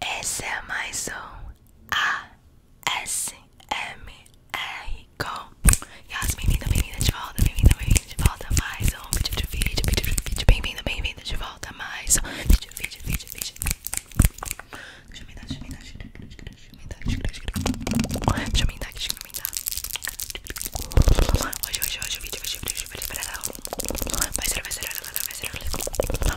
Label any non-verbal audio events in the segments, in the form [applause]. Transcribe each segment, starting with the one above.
Esse é mais um ASMR com Yas, bem-vinda, bem-vinda de volta, bem-vinda, bem-vinda de volta mais um vídeo de vídeo, bem-vinda, bem-vinda de volta mais um vídeo, vídeo, vídeo, vídeo. Deixa eu me dar, deixa eu me dar, deixa eu me dar, deixa eu me dar, deixa eu me dar, deixa eu me dar. Hoje, hoje, hoje o vídeo vai ser, vai ser, vai ser, vai vai ser, vai ser, vai ser, vai ser, vai ser, vai ser, vai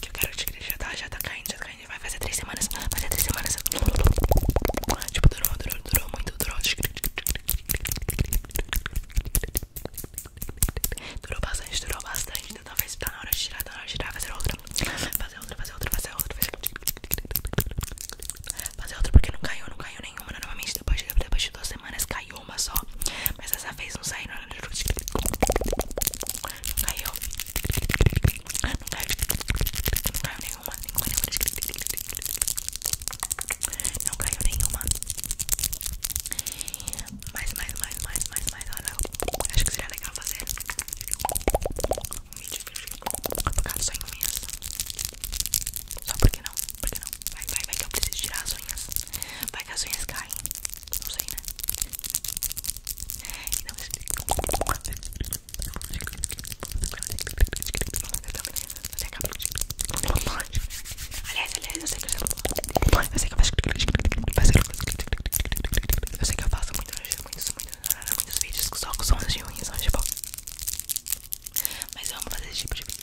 Que eu quero te igreja, tá? Já tá caindo, já tá caindo. Vai fazer três semanas, vai fazer três semanas. Tipo, durou, muito, durou. bastante, durou bastante. Então talvez tá na hora de tirar, tá fazer outra. Fazer outra, fazer outra, fazer outra, fazer outra. porque não caiu, não caiu nenhuma. Né? novamente depois de, depois duas semanas cai saiu uma só. Mas dessa vez não saiu. Não caiu. Não caiu. Não caiu nenhuma. nenhuma, nenhuma. Não caiu nenhuma. Mais, mais, mais, mais, mais, mais. Olha, acho que seria legal fazer um vídeo focado só em unhas. Só porque não? Porque não? Vai, vai, vai que eu preciso tirar as unhas. Vai que as unhas caem. Não sei, né? Não, mas... Aliás, aliás, eu sei que eu sei que eu faço Eu sei que eu faço muitos, muitos, muitos, muitos vídeos Só com sons de ruins, só tipo Mas eu amo fazer esse tipo de vídeo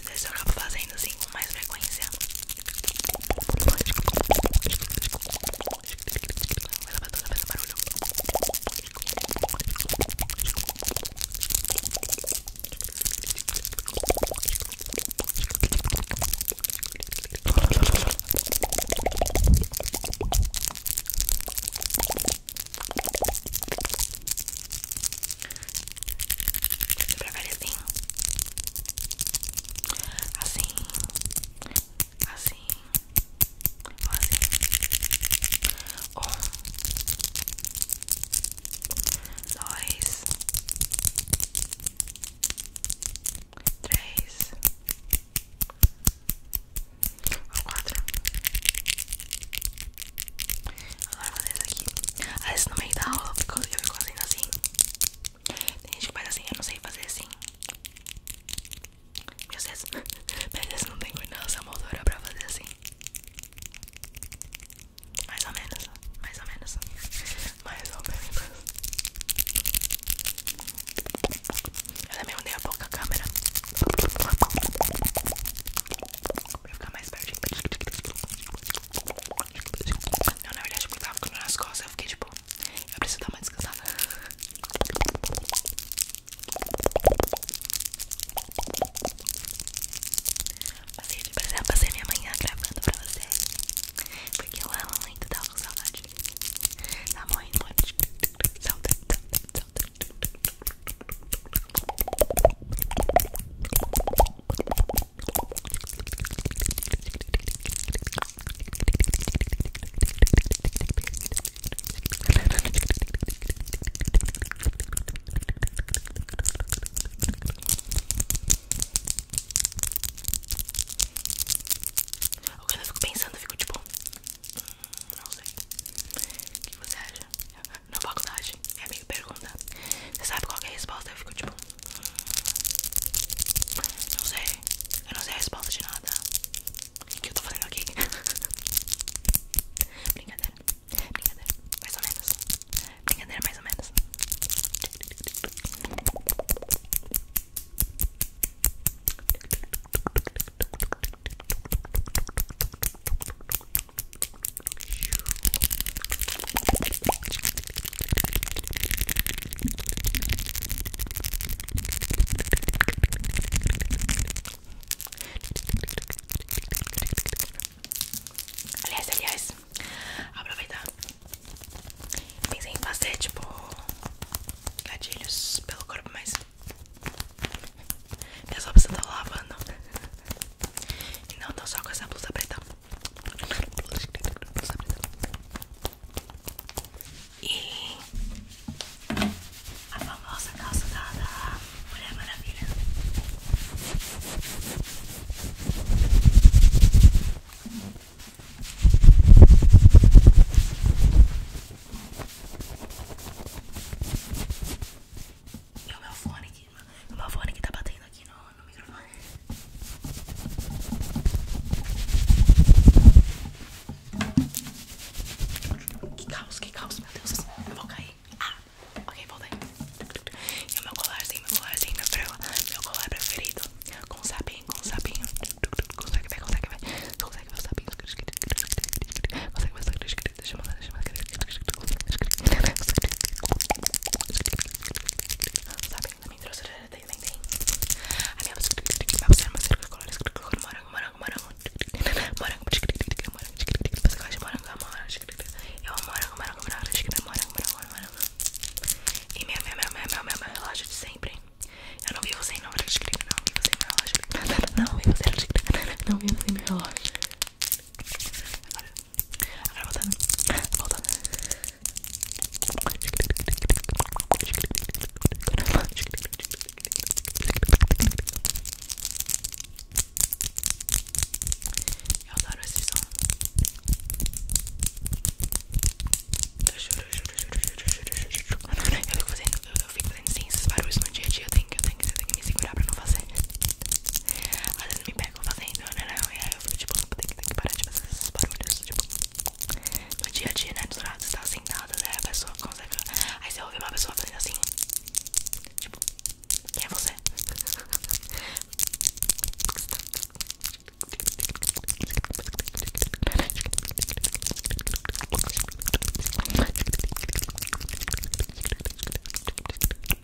vídeos desse eu acabo fazendo assim com mais frequência. A lavadora faz um barulho. Eu assim Assim Assim assim Um Dois Três quatro Agora vou fazer isso aqui. Às vezes no meio da aula eu assim. Tem gente que faz assim, eu não sei fazer assim. Meu Deus, meu não tem coordenação motora pra fazer assim. Mais ou menos, mais ou menos. Mais ou menos. Eu também mudei a pouco a câmera. Pra ficar mais pertinho. Não, na verdade eu tava com nas costas Eu fiquei tipo, eu preciso dar uma descansada Passei de prazer, passei minha manhã gravando pra vocês Porque eu amo muito, tava com saudade Tá morrendo, morrendo Saudade, saudade, saudade eu fico pensando, fico tipo, hum, que você acha? na faculdade. É Minha amiga pergunta: Você sabe qual é a resposta? Eu fico tipo: hum, Não sei. Eu não sei a resposta de nada. O que eu tô fazendo aqui? [laughs] Brincadeira. Brincadeira. Mais ou menos. Brincadeira, mais ou menos. Aliás, aliás, aproveitar. Pensei em fazer tipo gatilhos pelo corpo, mas. Minhas roupas estão lavando. E não tô só com essa blusa preta. E a famosa calça da, Mulher Maravilha. E o meu fone aqui no meu fone que tá batendo aqui no, no microfone. Que caos, que caos, meu Deus, eu vou cair. Ah, ok, voltei. E o meu colarzinho, meu colarzinho, meu, prela, meu colar preferido. Com sapinho, com sapinho. Consegue ver, consegue ver. Consegue ver os sapinhos. Consegue ver os sapinhos. Deixa eu mandar, deixa eu mandar. Sabe, na minha trouxeira também tem. A minha trouxeira é uma cerca colorida. Morango, morango, morango. Morango, mas eu gosto de morango, morango. Eu amo morango, morango, morango. Morango, morango, morango. E meu, meu, meu, meu, meu, meu relógio de sempre. Eu não vivo sem, não, não vivo sem meu relógio. Não vivo sem, não vivo sem meu relógio. Agora, Agora voltando, voltando. Eu adoro esse som. Eu fico fazendo, eu, fico fazendo sim, esses barulhos no dia a Eu tenho que, me segurar pra não fazer. Às vezes me pego fazendo, né, né, né? eu fico tipo, tem tem que parar de fazer esses barulhos, tipo, no dia a dia, né? Do lado, você tá sem assim, nada, né? A pessoa consegue. Aí você ouve uma pessoa fazendo assim, tipo, quem é você?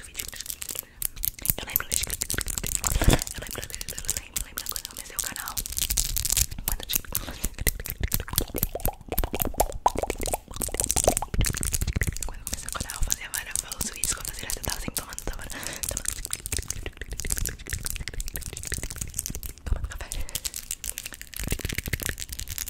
durante o vídeo. Eu lembro, eu lembro, eu lembro, eu lembro, eu lembro quando eu comecei o canal. Quando eu tive. Quando eu comecei o canal, eu fazia várias falsos vídeos que eu fazia direto. Eu tava sempre tomando, tava, tava, tomando café.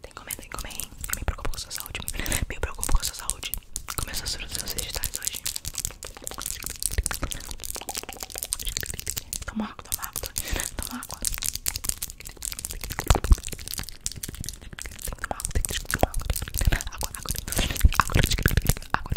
Tem comendo, tem comer, hein? Eu me preocupo com sua saúde. Me, [laughs] me preocupo com sua saúde. Começa as frutas vegetais hoje. Toma água, toma água. Toma água. Toma água, tem que tomar água. Água, água. Água, água. Água, água.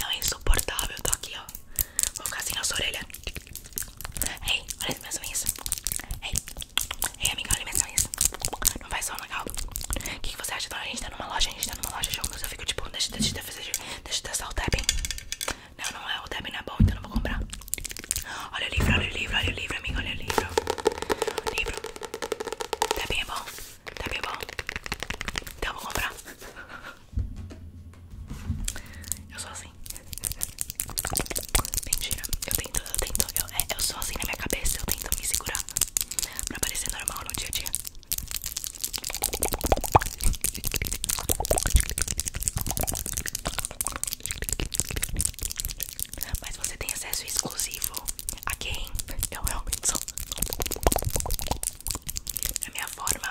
Não é insuportável, eu tô aqui, ó. Vou ficar assim, a sua orelha. Ei, olha as minhas unhas. Ei, ei, amiga, olha as minhas unhas. Não vai ser um legal. O que, você acha? Então, a gente tá numa loja, a gente tá numa loja de alguns. Eu fico tipo, deixa, deixa, deixa, deixa, deixa eu testar o Tabin. Não, não é, o Tabin não é bom, então não vou comprar. Olha o livro, olha o livro, olha o livro, amiga, olha o livro. Livro. Tabin é bom, Tabin é bom. Então eu vou comprar. Eu sou assim. [laughs] Mentira, eu tento, eu tento, é, eu, sou assim na minha cabeça, eu tento me segurar pra parecer normal no dia a dia. Mas você tem acesso exclusivo a quem eu realmente sou. A minha forma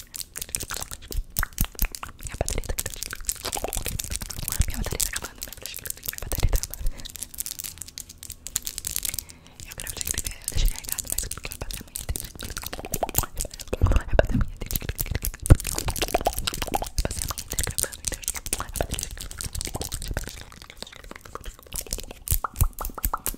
Minha bateria tá acabando. Minha bateria tá acabando. Minha bateria tá acabando. Eu quero te escrever, eu deixei carregado, mas porque eu passei amanhã inteira. Eu passei amanhã inteira. Eu passei amanhã inteira gravando, então eu bateria.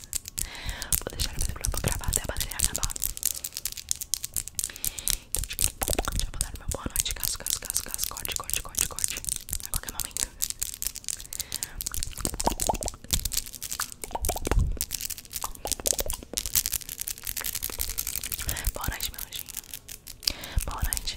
Vou deixar o microfone gravar até a bateria acabar. Então, já vou dar meu boa noite. Caso, caso, caso, caso. Corte, corte, corte, corte. A qualquer momento. Boa noite, meu anjinho. Boa noite. Boa noite.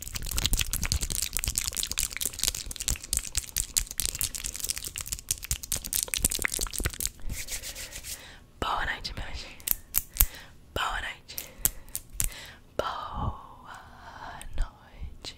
Boa noite, minha gente. Boa noite. Boa noite.